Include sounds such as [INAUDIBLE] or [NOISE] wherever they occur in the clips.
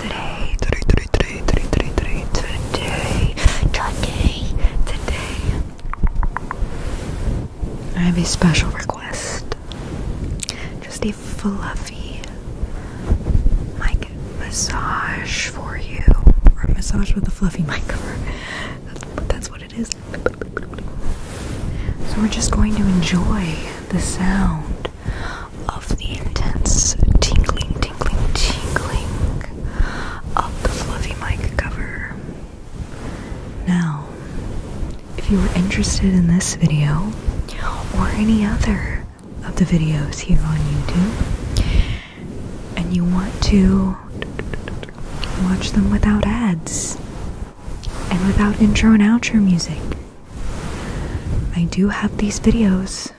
today, today, today, today, today, today, today, today, I have a special request. Just a fluffy mic massage for you, or a massage with a fluffy mic cover. that's what it is. So we're just going to enjoy the sound of the intense tingling, tingling, tingling of the fluffy mic cover. Now, if you are interested in this video or any other of the videos here on YouTube, and you want to watch them without ads and without intro and outro music, I do have these videos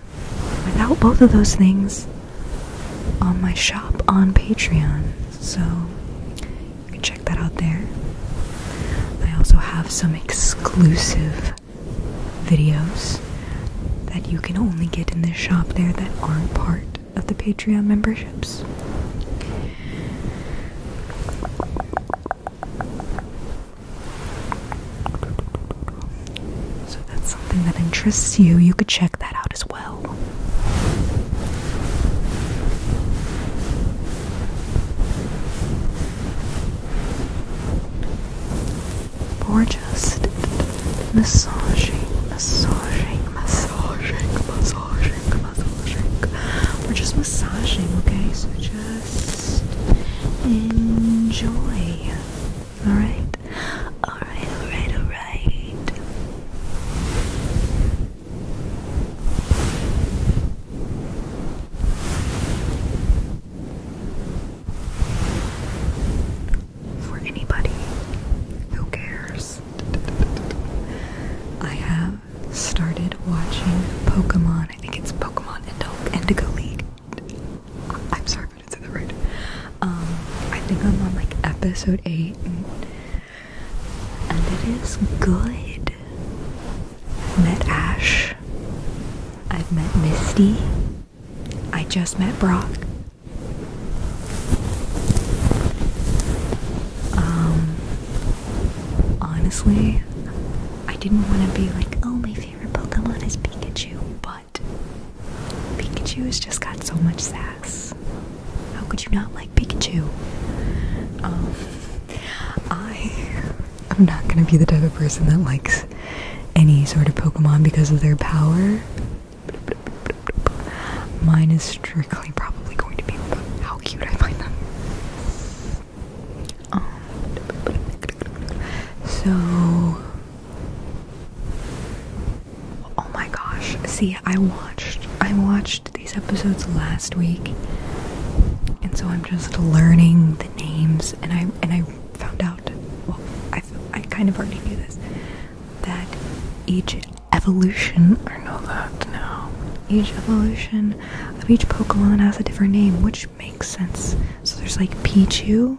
without both of those things on my shop on Patreon, so you can check that out there. I also have some exclusive videos that you can only get in this shop there that aren't part of the Patreon memberships. So if that's something that interests you, you could check that out as well. Or just massaging, massaging, massaging, massaging, massaging. We're just massaging, okay? So just just enjoy. Alright? Alright, alright, alright. For anybody who cares, I have started watching Pokemon I think it's Pokemon Adult Indigo League. I'm sorry if I didn't say that right. Um, I think I'm on like episode 8, and, it is good. I've met Ash, I've met Misty, I just met Brock. Um, honestly, I didn't want to be like, oh, my favorite Pokemon is Pikachu, but Pikachu has just got so much sass. How could you not like Pikachu? Um, I am not gonna be the type of person that likes any sort of Pokemon because of their power. Mine is strictly probably going to be how cute I find them so, oh my gosh! See, I watched I watched these episodes last week, and so I'm just learning the names, and I and I found out. Well, I I kind of already knew this that each evolution I know that now. Each evolution of each Pokemon has a different name, which makes sense so there's like Pichu,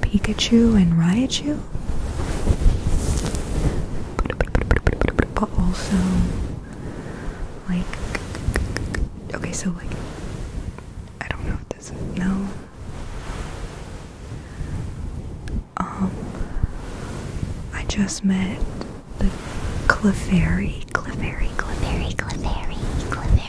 Pikachu, and Raichu. But also, like, okay, so like, I don't know this no. Um, I just met the Clefairy, Clefairy, Clefairy, Clefairy, Clefairy,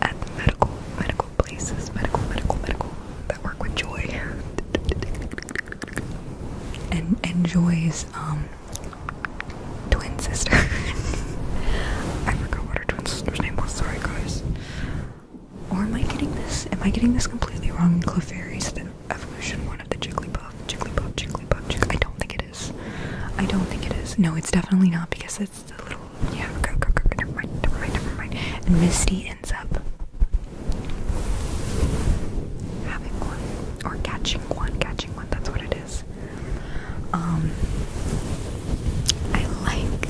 at medical, medical places, medical, medical, medical that work with joy. and Joy's um, twin sister. [LAUGHS] I forgot what her twin sister's name was. Sorry, guys. Or am I getting this? Am I getting this completely wrong? Clefairy's the evolution one of the Jigglypuff, Jigglypuff, Jigglypuff. Jiggly I don't think it is. I don't think it is. No, it's definitely not because yeah go go go never mind never mind never mind and Misty ends up having one or catching one catching one that's what it is um I like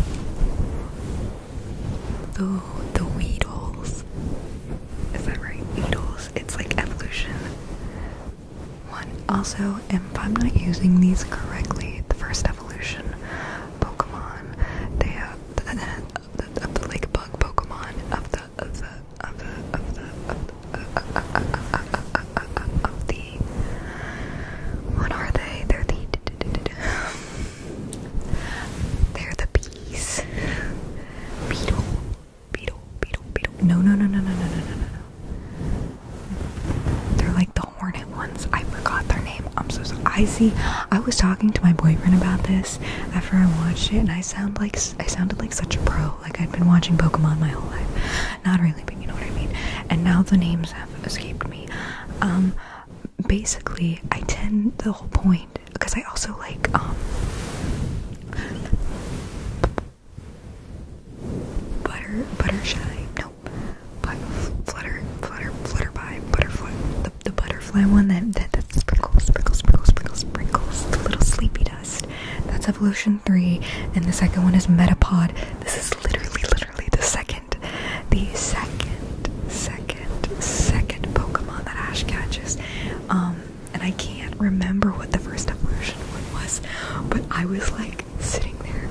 the the Weedles is that right Weedles it's like evolution one also, if I'm not using these correctly, the first evolution Pokemon, they have the, the, the, of the like bug Pokemon of the of the of the of the of the of the what are they? They're the they're the bees. Beetle. Beetle, beetle, beetle. No, no, no, no, no, no, no, no, no. They're like the hornet ones. I forgot their name. I'm so sorry. I see. I was talking to my boyfriend about this after I watched it, and I sound like I sounded like such a pro. Like I'd been watching Pokemon my whole life. Not really, but you know what I mean. And now the names have escaped me. Um, basically, I tend the whole point because I also like um Butter, Buttershy, no, but Flutter, Flutter, Flutterby, Butterfly, the, the butterfly one that, that, that sprinkles, sprinkles, sprinkles, sprinkles, sprinkles, the little sleepy dust. That's Evolution 3, and the second one is Metapod. This is literally, literally the second, the second, second, second Pokemon that Ash catches. Um, and I can't remember what the first evolution one was, but I was like sitting there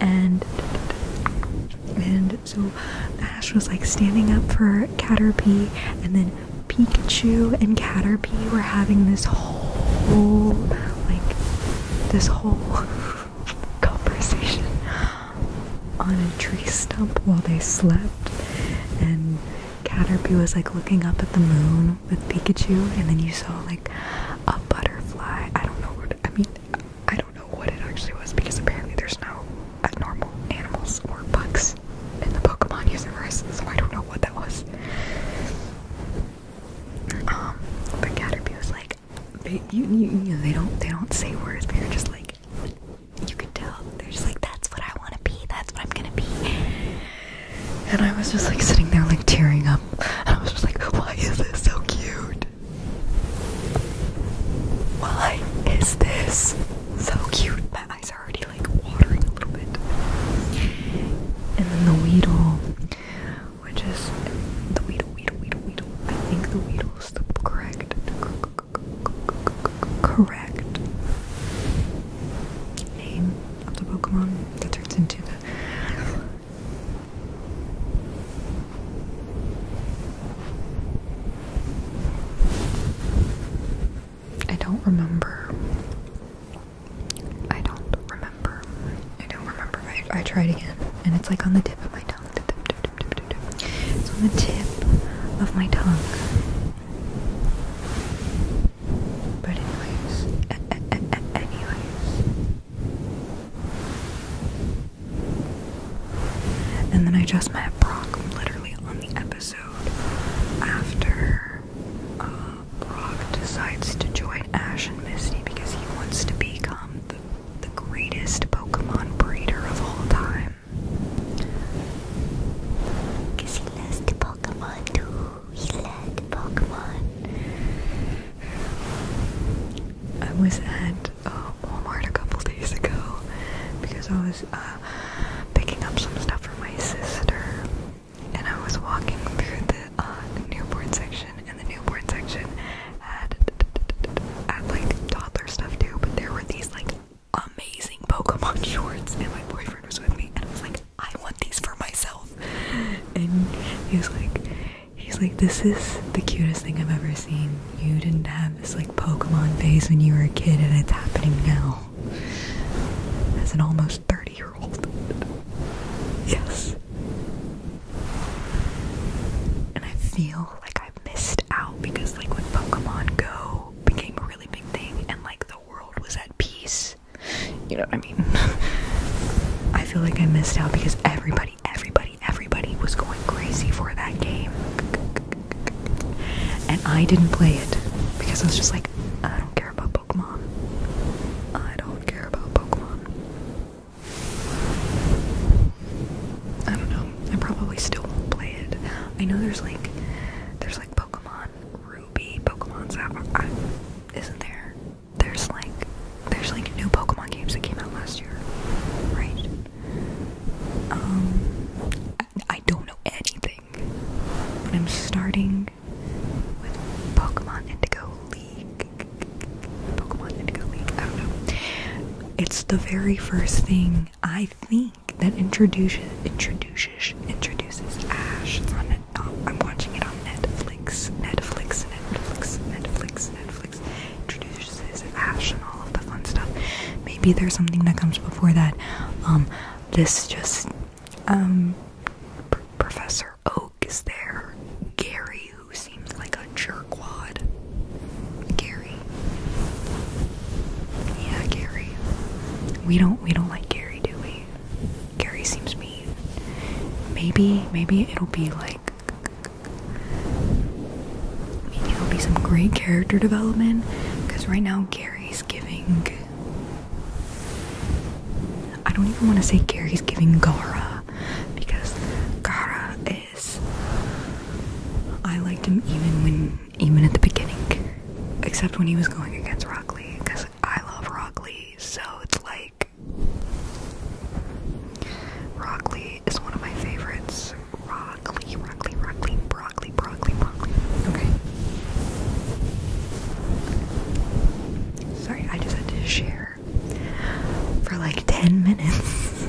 and and so Ash was like standing up for Caterpie and then Pikachu and Caterpie were having this whole like this whole [LAUGHS] conversation on a tree stump while they slept and Caterpie was like looking up at the moon with Pikachu and then you saw like a butterfly. I don't know what I mean I don't. I don't know what it actually was because apparently there's no abnormal animals or bugs in the Pokemon universe, so I don't know what that was. Um, but Caterpie was like, they, don't, they don't say words, but you're just like, you can tell. They're just like, that's what I want to be. That's what I'm gonna be. And I was just like sitting there, like tearing up. And I was just like, why is this so cute? Why is this so cute? My eyes are already like watering a little bit. And then the Weedle, which is the Weedle, Weedle, Weedle, Weedle. I think the is the correct, correct name of the Pokemon that turns into the I don't remember. I don't remember. I don't remember. I, tried again, and it's like on the tip of my tongue. It's on the tip of my tongue. But anyways, anyways. And then I just met Brock literally on the episode after uh, Brock decides to join Ash and Misty because he wants to become the, greatest Pokemon breeder of all time. Because he loves Pokemon too. He loves Pokemon. I was at uh, Walmart a couple days ago because I was uh, picking up some stuff for my sister, and I was walking through the uh, newborn section, and the newborn section had had like toddler stuff too, but there were these like amazing Pokemon [LAUGHS] shorts, and my boyfriend was with me, and I was like, I want these for myself, [LAUGHS] and he was like. He's like, this is the cutest thing I've ever seen. You didn't have this like Pokemon phase when you were a kid, and it's happening now. As an almost 30 year old. Yes. And I feel like i missed out because, like, when Pokemon Go became a really big thing and, like, the world was at peace, you know what I mean? [LAUGHS] I feel like I missed out because everybody everybody, everybody, was going crazy for that game. And I didn't play it because I was just like, I don't care about Pokemon. I don't care about Pokemon. I don't know. I probably still won't play it. I know there's like, there's like Pokemon Ruby, Pokemon Sapphire. I, isn't there? there's like there's like new Pokemon games that came out last year, right? Um, I, don't know anything, but I'm starting with Pokemon Indigo League. Pokemon Indigo League. I don't know. It's the very first thing I think that introduces introduces introduces Ash. on. Uh, I'm watching it on Netflix. Netflix. Netflix. Netflix. Netflix introduces Ash and all of the fun stuff. Maybe there's something that comes before that. Um, this just um, Professor Oak is there. Gary, who seems like a jerkwad. Gary. Yeah, Gary. We don't we don't like Gary, do we? Gary seems mean. Maybe maybe it'll be like I it'll be some great character development because right now Gary's giving. I don't even want to say Gary's giving Gara because Gara is. I liked him even when, even at the beginning, except when he was going against Rockley because I love Rockley, so it's like like. is one of my favorites. Rockley, Rockley, Broccoli, Broccoli, Broccoli. Okay. Sorry, I just had to share for like 10 minutes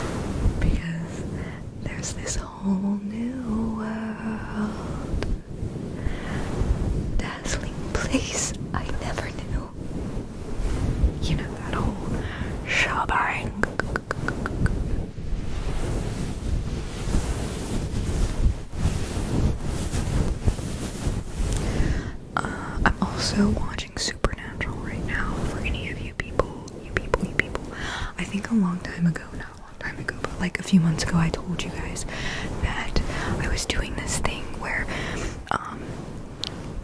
[LAUGHS] because there's this whole new world, dazzling place I never knew you know, that whole shebang. Uh, I'm also watching Supernatural right now. For any of you people, you people, you people, I think a long time ago, not a long time ago, but like a few months ago, I told you guys that I was doing this thing where um,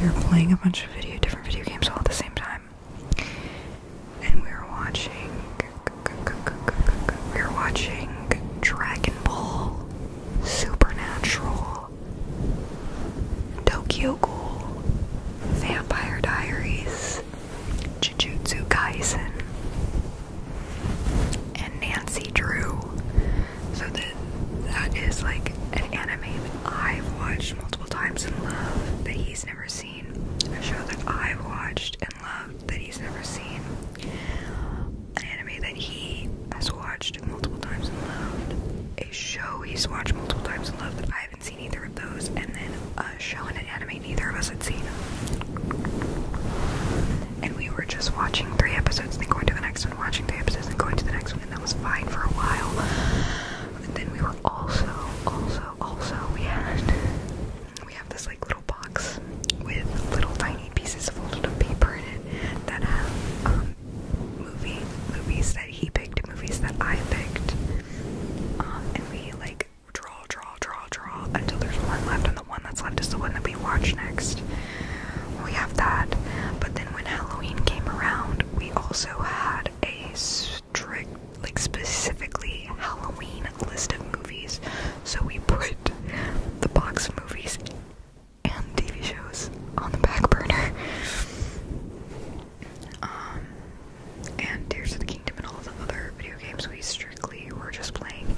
we were playing a bunch of video, different video games all at the same time, and we were watching. We were watching Dragon Ball, Supernatural, Tokyo Ghoul, Vampire Diaries, Jujutsu Kaisen, and Nancy Drew. So that that is like an anime that I've watched multiple times and loved that he's never seen. A show that I've watched and loved that he's never seen. An anime that he has watched multiple times and loved. A show he's watched multiple times and loved that I haven't seen either of those. And then a show and an anime neither of us had seen. And we were just watching three episodes and then going to the next one, watching three episodes and going to the next one and that was fine for a while. And then we were also, also, also, we had, we have this like little box with little tiny pieces of folded up paper in it that have um, movies that he picked, movies that I picked, um, and we like draw, draw, draw, draw until there's one left, and the one that's left is the one that we watch next we have that. But then when Halloween came around, we also had a strict, like specifically Halloween list of movies. So we put the box of movies and TV shows on the back burner. [LAUGHS] Um, and Tears of the Kingdom and all the other video games we strictly were just playing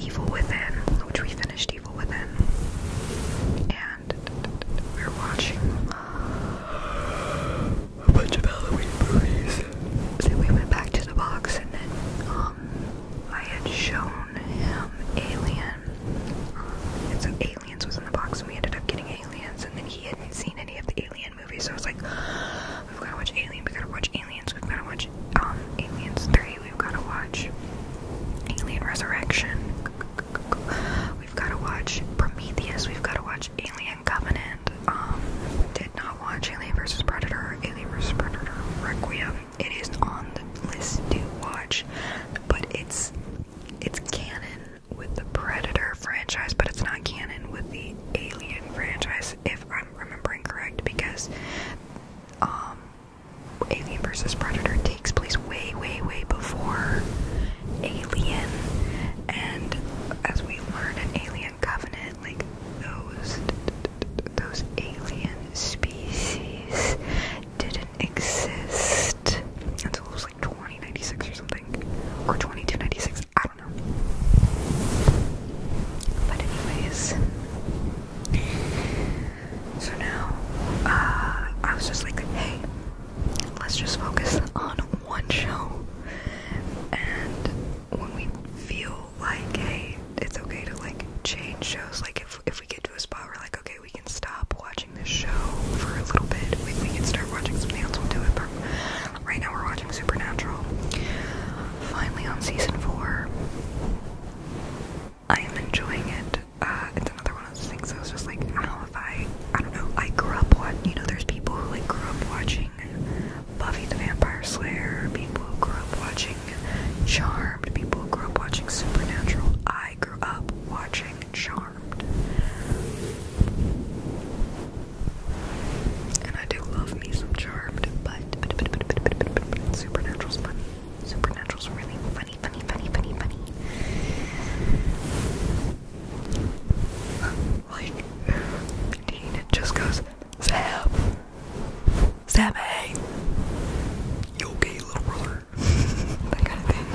Evil Within, which we finished Evil Within, and we are watching a bunch of Halloween movies. So we went back to the box, and then um, I had shown him Alien. so Aliens was in the box, and we ended up getting Aliens, and then he hadn't seen any of the Alien movies, so I was like, we've gotta watch Alien, we gotta watch Aliens, we've gotta watch um, Aliens 3, we've got to watch Alien Resurrection, we've got to watch Prometheus, we've got to watch Alien Covenant. Um, did not watch Alien vs. Predator, Alien vs. Predator Requiem. It is on the list to watch, but it's it's canon with the Predator franchise, but it's not canon with the Alien franchise, if I'm remembering correct, because um, Alien versus Predator takes place way, way, way before Alien, and as we learn in Alien Covenant, like those those alien species didn't exist until it was like 2096 or something, or 2296. I don't know. But anyways, so now, uh, I was just like, hey, let's just focus on one show. And when we feel like, hey, it's okay to like change shows, like if, if we get to a spot where like, okay, we can stop watching this show for a little bit, we, can start watching something else, we'll do it. But right now we're watching Supernatural. Finally on season four. I am enjoying it. it's another one of those things I was just like, I don't know if I, I don't know, I grew up watching, you know, there's people who like grew up watching Buffy the Vampire Slayer, people grew up watching Charmed, people grew up watching Supernatural. I grew up watching Charmed. And I do love me some Charmed, but, Supernatural's funny. Supernatural's really funny funny, funny, funny, funny, Like, Dean just goes, Sam! Sam, You okay, little brother? [LAUGHS] that kind of thing.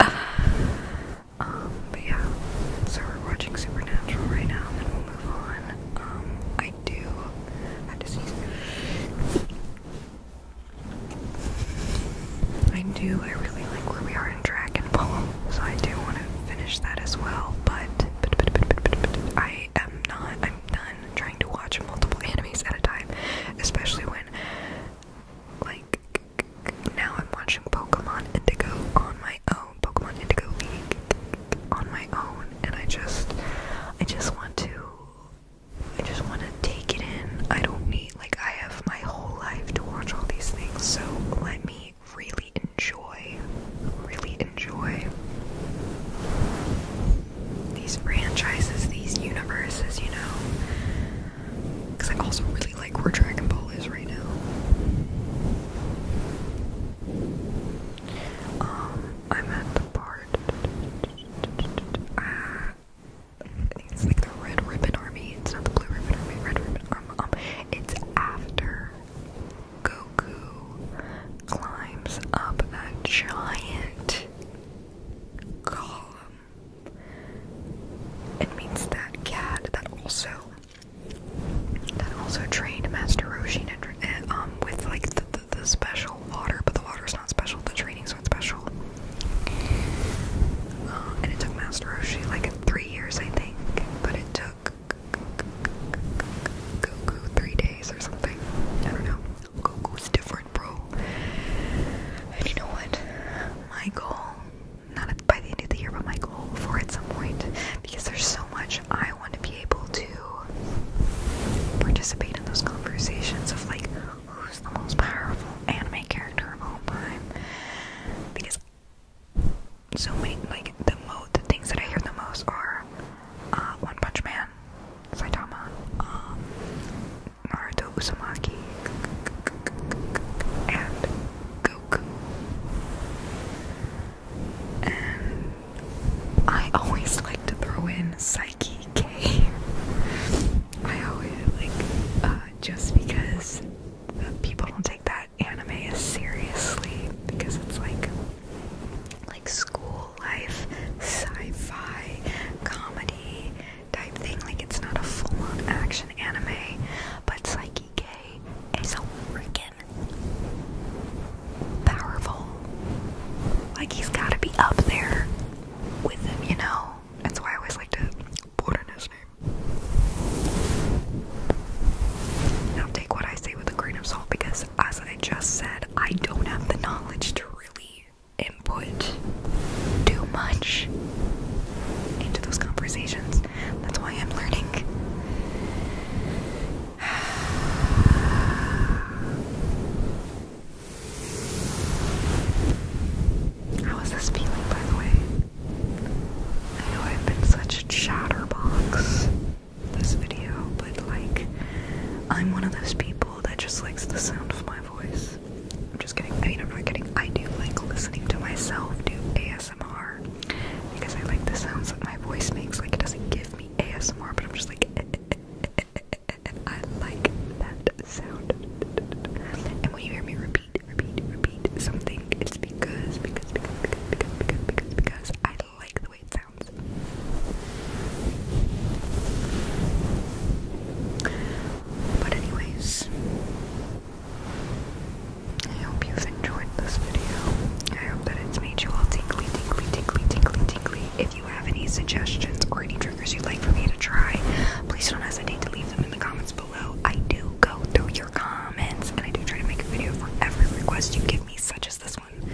[SIGHS] um, but yeah, so we're watching Supernatural right now, and then we'll move on. Um, I do have to I do, I really like where we are in Dragon Ball, so I do want to finish that as well, but, I am not, I'm done trying to watch multiple anime at a time, especially when, like, now I'm watching Pokemon Indigo on my own, Pokemon Indigo League on my own, and I just, I just want to I just want to take it in. I don't need, like, I have my whole life to watch all these things, so let me really enjoy, really enjoy these franchises, these universes, you know? Because I also really like where Dragon Ball is right now. Um, I'm at the part. Ah, it's like the Red Ribbon Army. It's not the Blue Ribbon Army. Red Ribbon Army. Um, it's after Goku climbs up that giant column and meets that cat that also that also trained Master Roshi um, with like the, the, special water, but the water is not special. The training's special. Uh, and it took Master Roshi like three years, I think, but it took Goku three days or something. I don't know. Goku's different, bro. And you know what? My goal, not by the end of the year, but my goal for at some point, because there's so much I want to be able to participate in those conversations of like, who's the most powerful anime character of all time because so many like the mo the things that I hear the most are uh, One Punch Man, Saitama, um, Naruto Uzumaki, and Goku. And I always like to throw in Psyche DK. I always like, uh, just because people don't take that anime as seriously because it's like, like school life, sci-fi, comedy type thing. Like it's not a full-on action anime, but Psyche K is a freaking powerful. Like he's got to be up there with them, you know. That's why I always like to put in his name. Now take what I say with a grain of salt because as I just said, I don't have the knowledge to really input too much into those conversations. That's why I'm learning. [SIGHS] [SIGHS] How is this feeling, by the way? I know I've been such a chatterbox this video, but like, I'm one of those people that just likes the sound of my voice. I'm just getting. I mean, I'm not kidding. I do like listening to myself do ASMR because I like the sounds that my voice makes. Like, it doesn't give me ASMR, but I'm just like, [LAUGHS] [LAUGHS] I like that sound. And when you hear me repeat, repeat, repeat something, it's because, because, because, because, because, because, because I like the way it sounds. But anyways, I hope you've enjoyed this video. I hope that it's made you all tingly, tingly, tingly, tingly, tingly. If you have any suggestions or any triggers you'd like for me to try, please don't hesitate to leave them in the comments below. I do go through your comments and I do try to make a video for every request you give me, such as this one.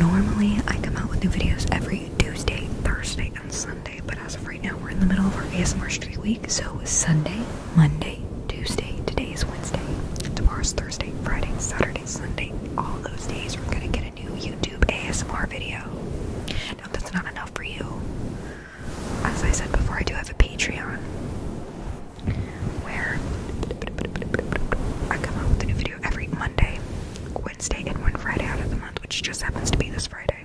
Normally, I come out with new videos every Tuesday, Thursday, and Sunday, but as of right now, we're in the middle of our ASMR Street Week, so Sunday, Monday, Tuesday, today is Wednesday, tomorrow's Thursday, Friday, Saturday, Sunday, all those days we are gonna get it new YouTube ASMR video. Now, that's not enough for you, as I said before, I do have a Patreon where I come out with a new video every Monday, Wednesday, and one Friday out of the month, which just happens to be this Friday.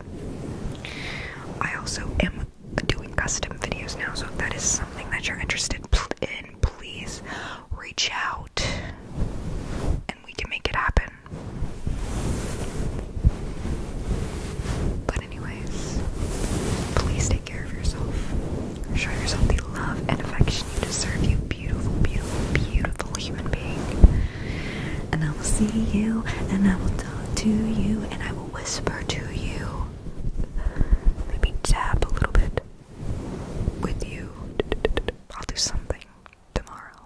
I also am doing custom videos now, so if that is something that you're interested in, please reach out and we can make it happen. But, anyways, please take care of yourself. Show yourself the love and affection you deserve, you beautiful, beautiful, beautiful human being. And I will see you, and I will talk to you, and I will whisper to you. Maybe tap a little bit with you. I'll do something tomorrow.